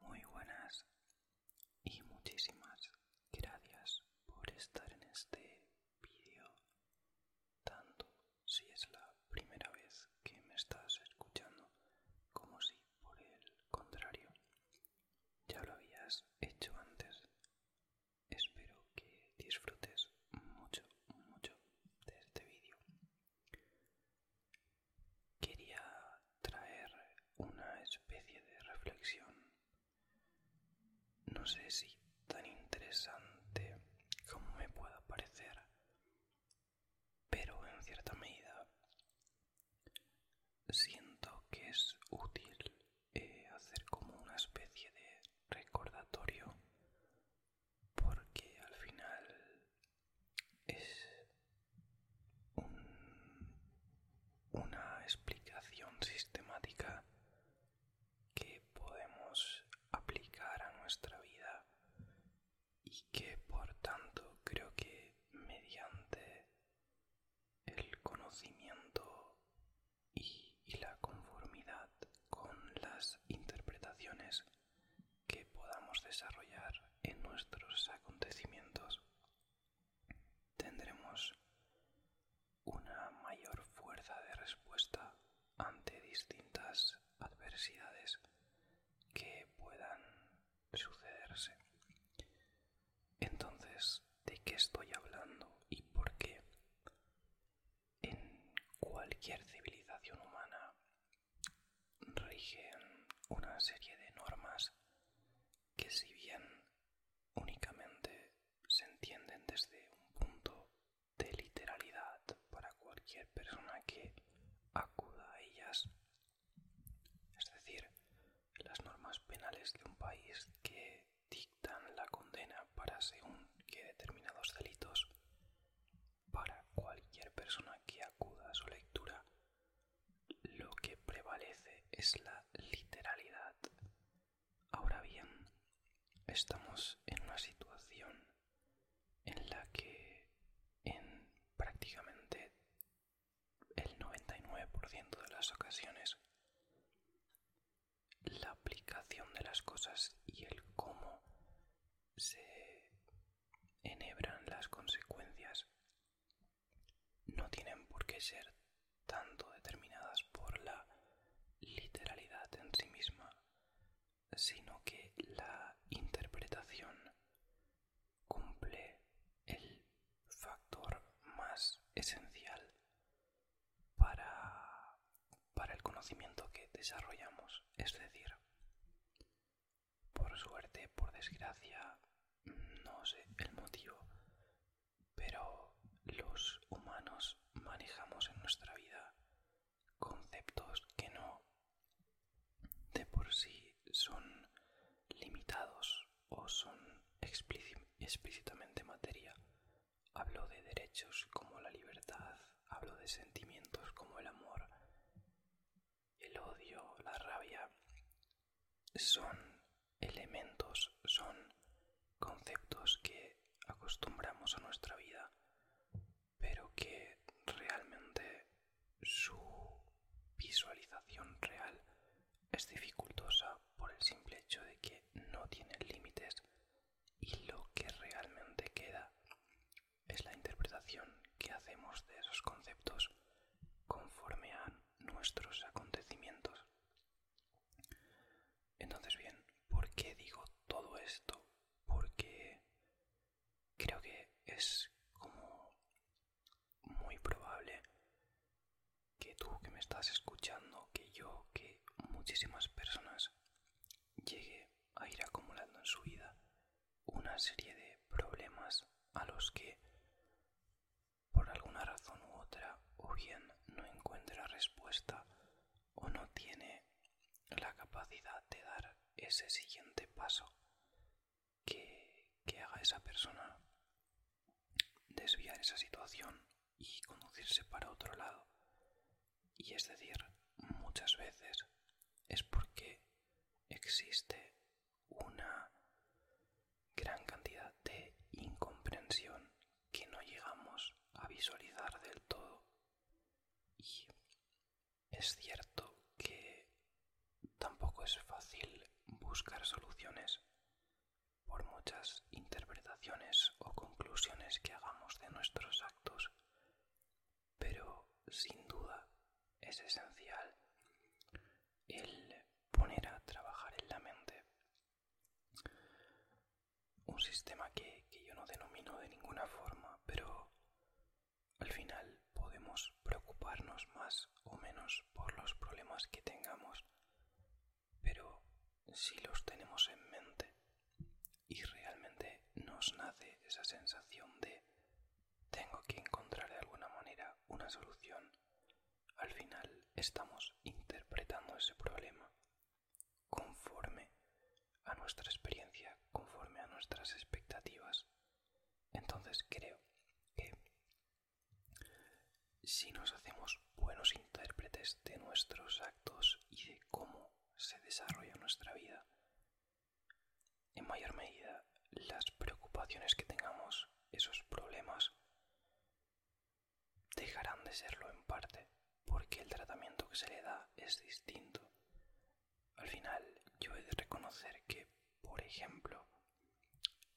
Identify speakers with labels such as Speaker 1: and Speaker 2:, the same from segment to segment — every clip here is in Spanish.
Speaker 1: Muy buenas y muchísimas gracias por estar en este vídeo,
Speaker 2: tanto si es la primera vez que me estás escuchando como si por el contrario ya lo habías hecho antes. Espero que disfrutes mucho, mucho de este vídeo.
Speaker 1: Quería traer una especie de reflexión, no sé si tan interesante como me pueda parecer, pero en cierta medida siento que es útil
Speaker 2: eh, hacer como una especie de recordatorio porque al final es una explicación sistemática que podemos aplicar a nuestra vida y que por tanto creo que mediante el conocimiento y la conformidad con las interpretaciones que podamos desarrollar en nuestros acontecimientos, tendremos una mayor fuerza de respuesta ante distintas adversidades que puedan sucederse. Entonces, ¿de qué estoy hablando y por qué? En cualquier civilización humana rigen una serie de normas que si bien únicamente se entienden desde un punto de literalidad para cualquier persona que acuda a ellas, es decir, las normas penales de un país que dictan la condena para según que determinados delitos para cualquier persona que acuda a su lectura, lo que prevalece es la literalidad. Ahora bien, estamos en una situación en la que en prácticamente el 99% de las ocasiones la aplicación de las cosas y el cómo se enhebran las consecuencias no tienen por qué ser tanto determinadas por la literalidad en sí misma, sino que la interpretación cumple el factor más esencial para, para el conocimiento que desarrollamos, es decir, por suerte, por desgracia, no sé el motivo, pero los humanos manejamos en nuestra vida conceptos que no de por sí son limitados o son explícitamente materia. Hablo de derechos como la libertad, hablo de sentimientos como el amor, el odio, la rabia, son elementos, son conceptos que acostumbramos a nuestra vida, pero que realmente su visualización real es dificultosa por el simple hecho de que no tienen límites y lo que realmente queda es la interpretación que hacemos de esos conceptos conforme a nuestros acontecimientos. Entonces bien, ¿por qué digo todo esto? Porque creo que es como muy probable que tú que me estás escuchando, que yo, que muchísimas personas llegue a ir acumulando en su vida una serie de problemas a los que por alguna razón u otra o bien no encuentra respuesta o no tiene la capacidad de dar ese siguiente paso que, que haga esa persona desviar esa situación y conducirse para otro lado. Y es decir, muchas veces es porque existe una gran cantidad de incomprensión que no llegamos a visualizar del todo. Y es cierto que tampoco es fácil buscar soluciones por muchas interpretaciones o conclusiones que hagamos de nuestros actos pero sin duda es esencial el poner a trabajar en la mente
Speaker 1: un sistema que, yo no denomino de ninguna forma, pero al
Speaker 2: final podemos preocuparnos más o menos por los problemas que tengamos, pero si los tenemos en mente y realmente nos nace esa sensación de tengo que encontrar de alguna manera una solución. Al final estamos interpretando ese problema conforme a nuestra experiencia, conforme a nuestras expectativas. Entonces creo que si nos hacemos buenos intérpretes de nuestros actos y de cómo se desarrolla nuestra vida, en mayor medida las preocupaciones que tengamos, esos problemas, dejarán de serlo en parte, porque el tratamiento que se le da es distinto. Al final, yo he de reconocer que, por ejemplo,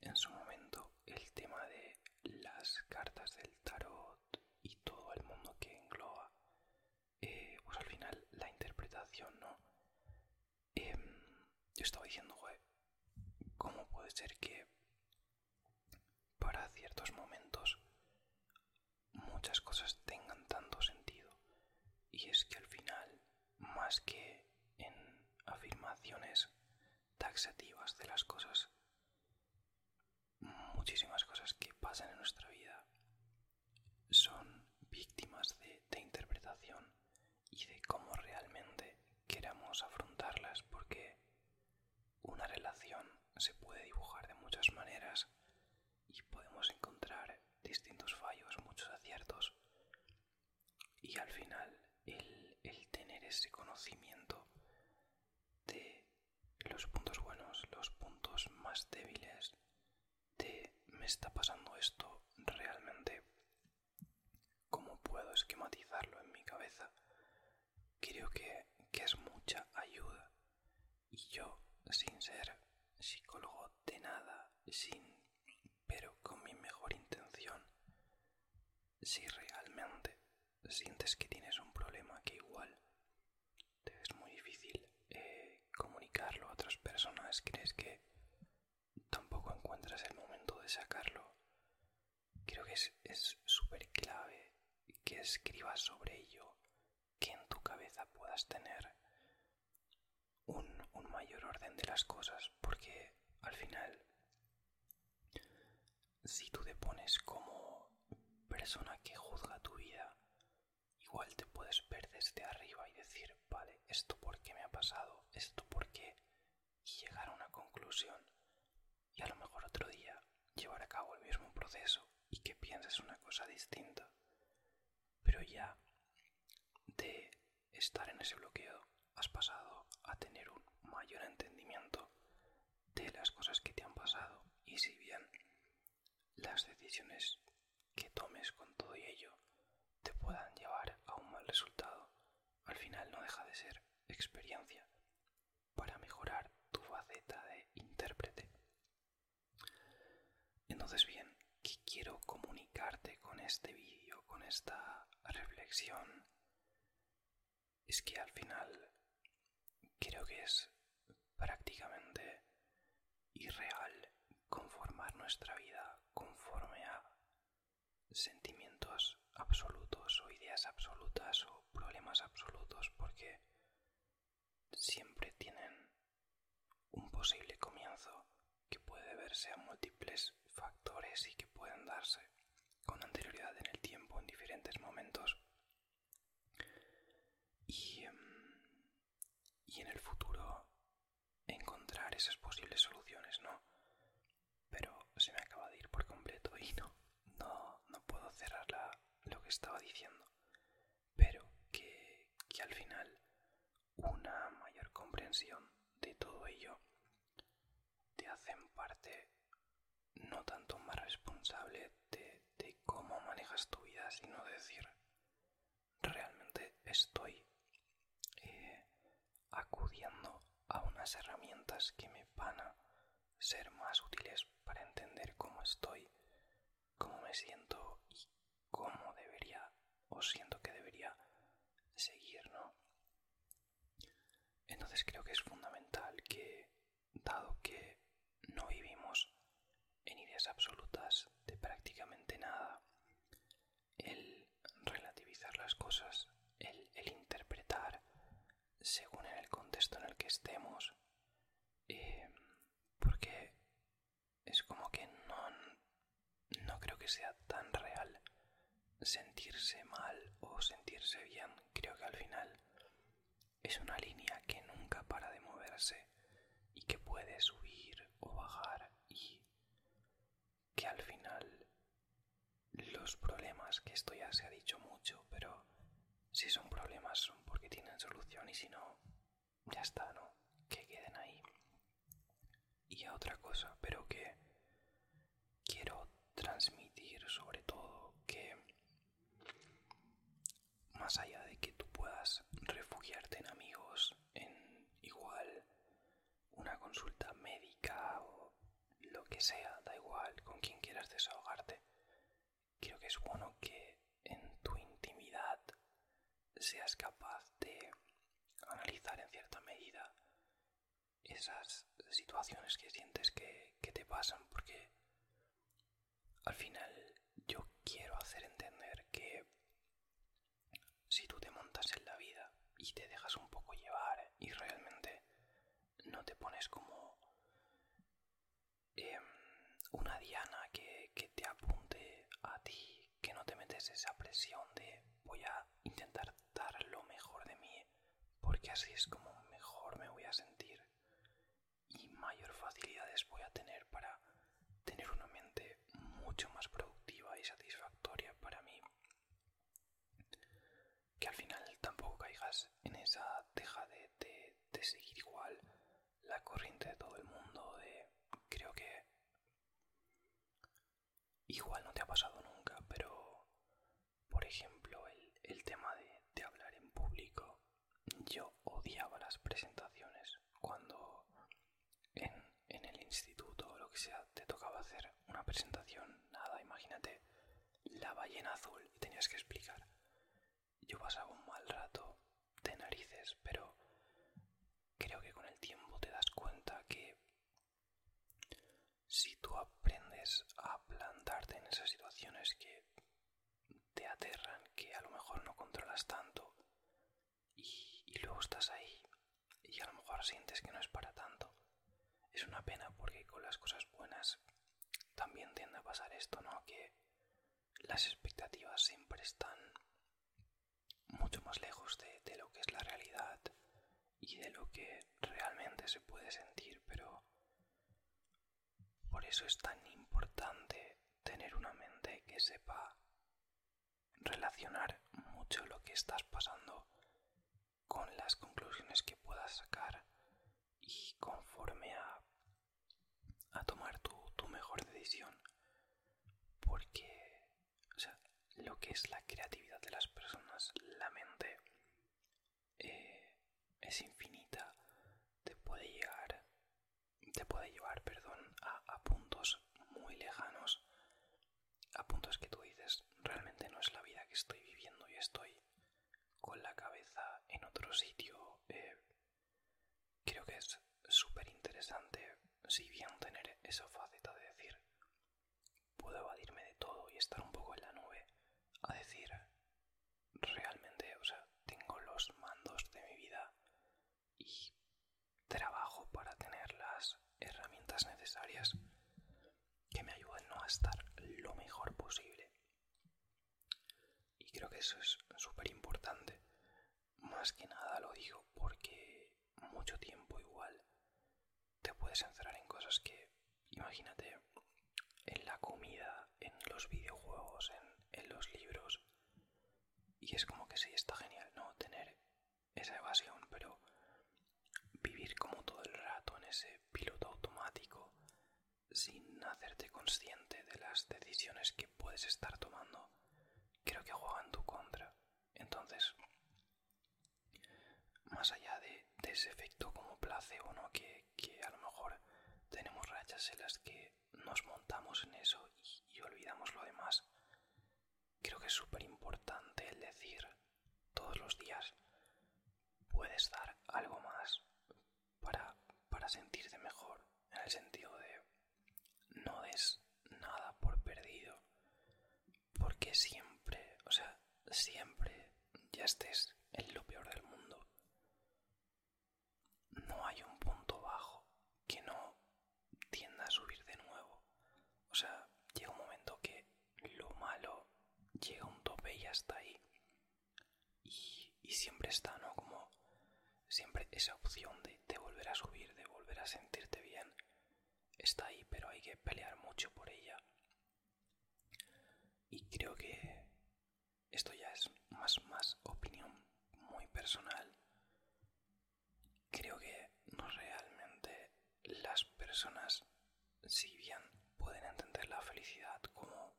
Speaker 1: en su momento el tema de las cartas del tarot y todo el mundo que engloba, eh, pues al final la interpretación, ¿no? Em, yo estaba diciendo, joder, ¿cómo puede ser que
Speaker 2: para ciertos momentos muchas cosas tengan tanto sentido? Y es que al final, más
Speaker 1: que en afirmaciones taxativas de las cosas, muchísimas cosas que pasan en nuestra vida son víctimas de, interpretación
Speaker 2: y de cómo realmente queramos afrontarlas porque una relación se puede dibujar de muchas maneras y podemos encontrar distintos fallos, muchos aciertos y al final el tener ese conocimiento de los puntos buenos, los puntos más débiles, me está pasando esto realmente, cómo puedo esquematizarlo en mi cabeza, creo que, es mucha ayuda. Y yo, sin ser psicólogo de nada, sin, pero con mi mejor intención, si realmente sientes que tienes un problema que igual te es muy difícil eh, comunicarlo a otras personas, crees que tampoco encuentras el momento de sacarlo. Creo que es súper clave que escribas sobre ello, que en tu cabeza puedas tener un, un mayor orden de las cosas, porque al final, si tú te pones como persona que juzga tu vida, igual te puedes ver desde arriba y decir, vale, esto por qué me ha pasado, esto por qué, y llegar a una conclusión y a lo mejor otro día llevar a cabo el mismo proceso y que pienses una cosa distinta. Pero ya de estar en ese bloqueo has pasado a tener un mayor entendimiento de las cosas que te han pasado y si bien las decisiones que tomes con todo y ello te puedan llevar a un mal resultado, al final no deja de ser experiencia para mejorar tu faceta de intérprete. Entonces bien, ¿qué quiero comunicarte con este vídeo, con esta reflexión? Es que al final creo que es prácticamente y real conformar nuestra vida conforme a sentimientos absolutos o ideas absolutas o problemas absolutos porque siempre tienen un posible comienzo que puede verse a múltiples factores y que pueden darse con anterioridad en el tiempo en diferentes momentos y, em, y en el futuro encontrar esas posibles soluciones, ¿no? Pero se me acaba de ir por completo y no, no, no puedo cerrar lo que estaba diciendo. Pero que, que al final una mayor comprensión de todo ello te hacen parte no tanto más responsable de cómo manejas tu vida, sino decir, realmente estoy eh, acudiendo a unas herramientas que me van a ser más útiles para entender cómo estoy, cómo me siento y cómo debería o siento que debería seguir, ¿no? Entonces creo que es fundamental que, dado que no vivimos en ideas absolutas de prácticamente nada, el relativizar las cosas, el, interpretar según en el contexto en el que estemos, eh, porque es como que no, no creo que sea tan real sentirse mal o sentirse bien, creo que al final es una línea que nunca para de moverse y que puede subir o bajar y que al final los problemas, que esto ya se ha dicho mucho, pero si son problemas son porque tienen solución y si no, ya está, ¿no? Que queden ahí. Y a otra cosa, pero que quiero transmitir sobre todo que más allá de que tú puedas refugiarte en amigos, en igual una consulta médica o lo que sea, da igual, con quien quieras desahogarte, creo que es bueno que en tu intimidad seas
Speaker 1: capaz de analizar en cierta medida esas situaciones que sientes que, que te pasan, porque al final yo quiero hacer entender que si tú te montas en la vida y te dejas un poco llevar y
Speaker 2: realmente no te pones como em, una diana que te apunte a ti, que no te metes esa presión de voy a intentar dar lo mejor de mí, porque así es como mejor me voy a sentir y mayor facilidades voy a tener para tener una mente mucho más productiva y satisfactoria para mí que al final tampoco caigas en esa teja de, seguir igual la corriente de todo el mundo, de creo que igual no te ha pasado nunca, pero por ejemplo el, tema de hablar en público, yo odiaba las presentaciones cuando en, el instituto o lo que sea te tocaba hacer una presentación, nada, imagínate la ballena azul y tenías que explicar. Yo pasaba un mal rato de narices, pero creo que con el tiempo te das cuenta que si tú aprendes a plantarte en esas situaciones que te aterran, que a lo mejor no controlas tanto, y, luego estás ahí y a lo mejor sientes que no es para tanto. Es una pena porque con las cosas buenas también tiende a pasar esto, ¿no? Que las expectativas siempre están mucho más lejos de, de lo que es la realidad y de lo que realmente se puede sentir, pero por eso es tan importante tener una mente que sepa relacionar mucho lo que estás pasando con las conclusiones que puedas sacar y conforme a, tomar tu,
Speaker 1: mejor decisión. Porque, lo que es la creatividad
Speaker 2: de las personas, la mente, eh, es infinita, te puede llegar, te puede llevar, perdón, a puntos muy lejanos a punto es que tú dices, realmente no es la vida que estoy viviendo y estoy con la cabeza en otro sitio. Eh, creo que es súper interesante, si bien tener esa faceta de decir, puedo evadirme de todo y estar un poco en la nube, a decir, realmente, o sea, tengo los mandos de mi vida y trabajo para tener las herramientas necesarias que me ayuden a estar lo mejor posible. Y creo que eso es súper importante. Más que nada lo digo porque mucho tiempo igual te puedes encerrar en cosas que, imagínate, en la comida, en los videojuegos, en, en los libros. Y es como que sí, está genial, ¿no? Tener esa evasión, pero vivir como todo el rato en ese piloto automático sin hacerte consciente de las decisiones que puedes estar tomando, creo que juega en tu contra. Entonces, más allá de, ese efecto como placebo, ¿no? Que, que, a lo mejor tenemos rachas en las que nos montamos en eso y olvidamos lo demás, creo que es súper importante el decir todos los días puedes dar algo más para, sentirte mejor, en el sentido de no des nada por perdido, porque siempre, o sea, siempre ya estés en lo peor del mundo. No hay un punto bajo que no tienda a subir de nuevo. O sea, llega un momento que lo malo llega a un tope y ya está ahí. Y, y siempre está, ¿no? Como siempre esa opción de, de volver a subir, de volver a sentirte bien, está ahí, pero hay que pelear mucho por ella. Y creo que esto ya es más, más opinión muy personal Creo que no realmente las personas, si bien
Speaker 1: pueden entender la felicidad como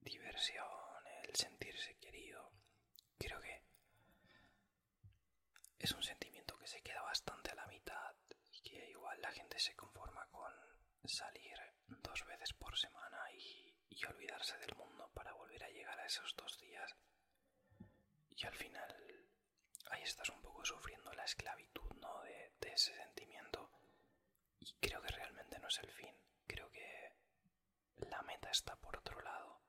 Speaker 1: diversión, el sentirse
Speaker 2: querido, creo que es un sentimiento que se queda bastante a la mitad y que igual la gente se conforma con salir dos veces por semana y olvidarse del mundo para volver a llegar a esos dos días y al final ahí estás un poco sufriendo la esclavitud de, ese sentimiento y creo que realmente no es el fin, creo que la meta está por otro lado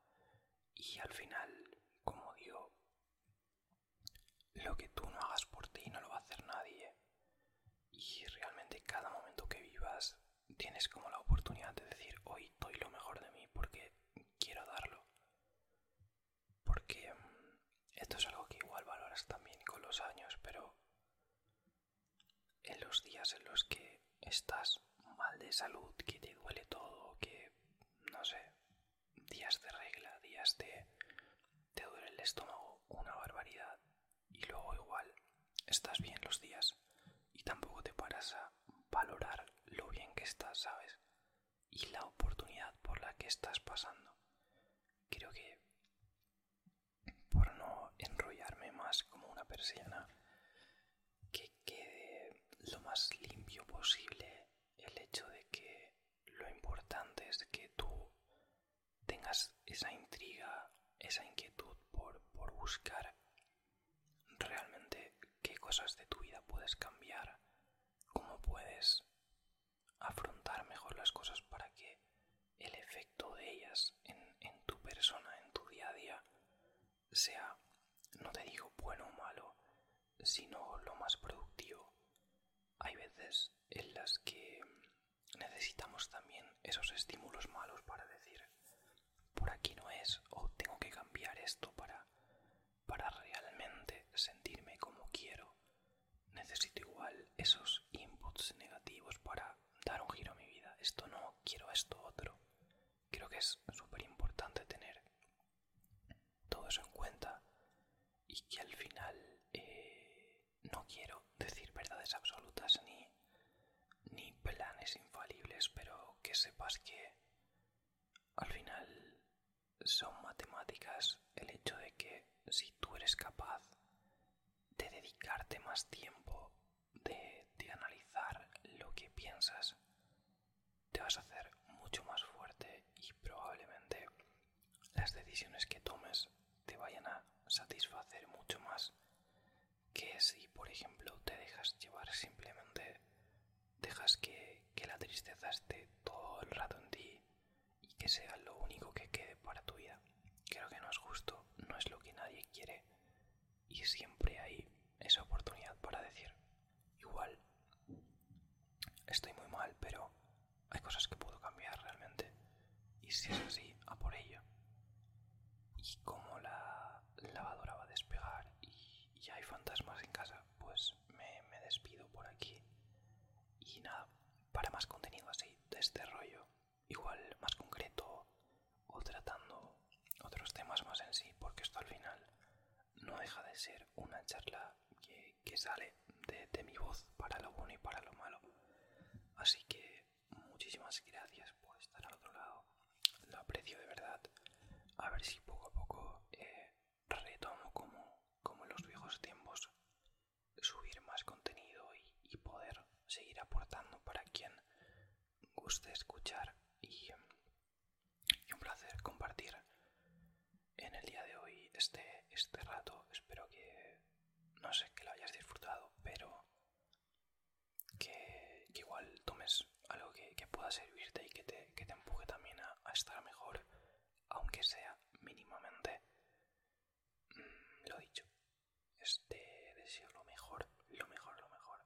Speaker 2: y al final, como digo, lo que tú no hagas por ti no lo va a hacer nadie y realmente cada momento que vivas tienes como la oportunidad de decir hoy doy lo mejor de mí porque quiero darlo porque mm, esto es algo que igual valoras también con los años, pero en los días en los que estás mal de salud, que te duele todo, que no sé, días de regla, días de te duele el estómago, una barbaridad, y luego igual estás bien los días y tampoco te paras a valorar lo bien que estás, ¿sabes? y la oportunidad por la que estás pasando. Creo que, por no enrollarme más como una persiana, que quede lo más limpio posible el hecho de que lo importante es que tú tengas esa intriga, esa inquietud por, por buscar realmente qué cosas de tu vida puedes cambiar, cómo puedes afrontar mejor las cosas para que el efecto de ellas en, tu persona, en tu día a día, sea, no te digo bueno o malo, sino lo más productivo. Hay veces en las que necesitamos también esos estímulos malos para decir, por aquí no es, o tengo que cambiar esto para para realmente sentirme como quiero, necesito igual esos inputs negativos para dar un giro a mi vida. Esto no, quiero esto otro. Creo que es súper importante tener todo eso en cuenta y que al final eh, no quiero decir verdades absolutas ni, ni planes infalibles, pero que sepas que al final son matemáticas el hecho de que si tú eres capaz de dedicarte más tiempo, de, analizar lo que piensas, te vas a hacer mucho más fuerte y probablemente las decisiones que tomes te vayan a satisfacer mucho más que si, por ejemplo, te dejas llevar simplemente, dejas que la tristeza esté todo el rato en ti y que sea lo único que quede para tu vida. Creo que no es justo, no es lo que nadie quiere y siempre hay esa oportunidad para decir, igual, estoy muy mal, pero hay cosas que puedo cambiar realmente y si es así, a por ello. Y como la lavadora va a despegar y, ya hay fantasmas en casa, pues me, despido por aquí. Y nada, para más contenido así de este rollo, igual más concreto o tratando otros temas más en sí, porque esto al final no deja de ser una charla que, sale de, mi voz para lo bueno y para lo malo. Así que muchísimas gracias por estar al otro lado. Lo aprecio de verdad. A ver si poco a poco eh, retomo como, como en los viejos tiempos subir más contenido y, poder seguir aportando para quien guste escuchar y, un placer compartir en el día de hoy este, este rato espero que no sé que lo hayas disfrutado pero que, igual tomes algo que, pueda servirte y que te, empuje también a estar mejor aunque sea mínimamente. Mm, lo dicho, este deseo lo mejor, lo mejor, lo mejor.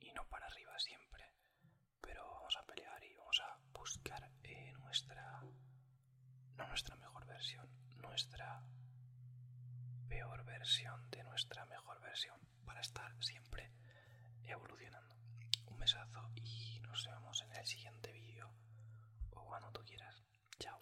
Speaker 2: Y, no para arriba siempre, pero vamos a pelear y vamos a buscar eh, nuestra. no nuestra mejor versión, nuestra peor versión de nuestra mejor versión para estar siempre evolucionando. Un besazo y nos vemos en el siguiente vídeo
Speaker 1: o cuando tú quieras. Chao.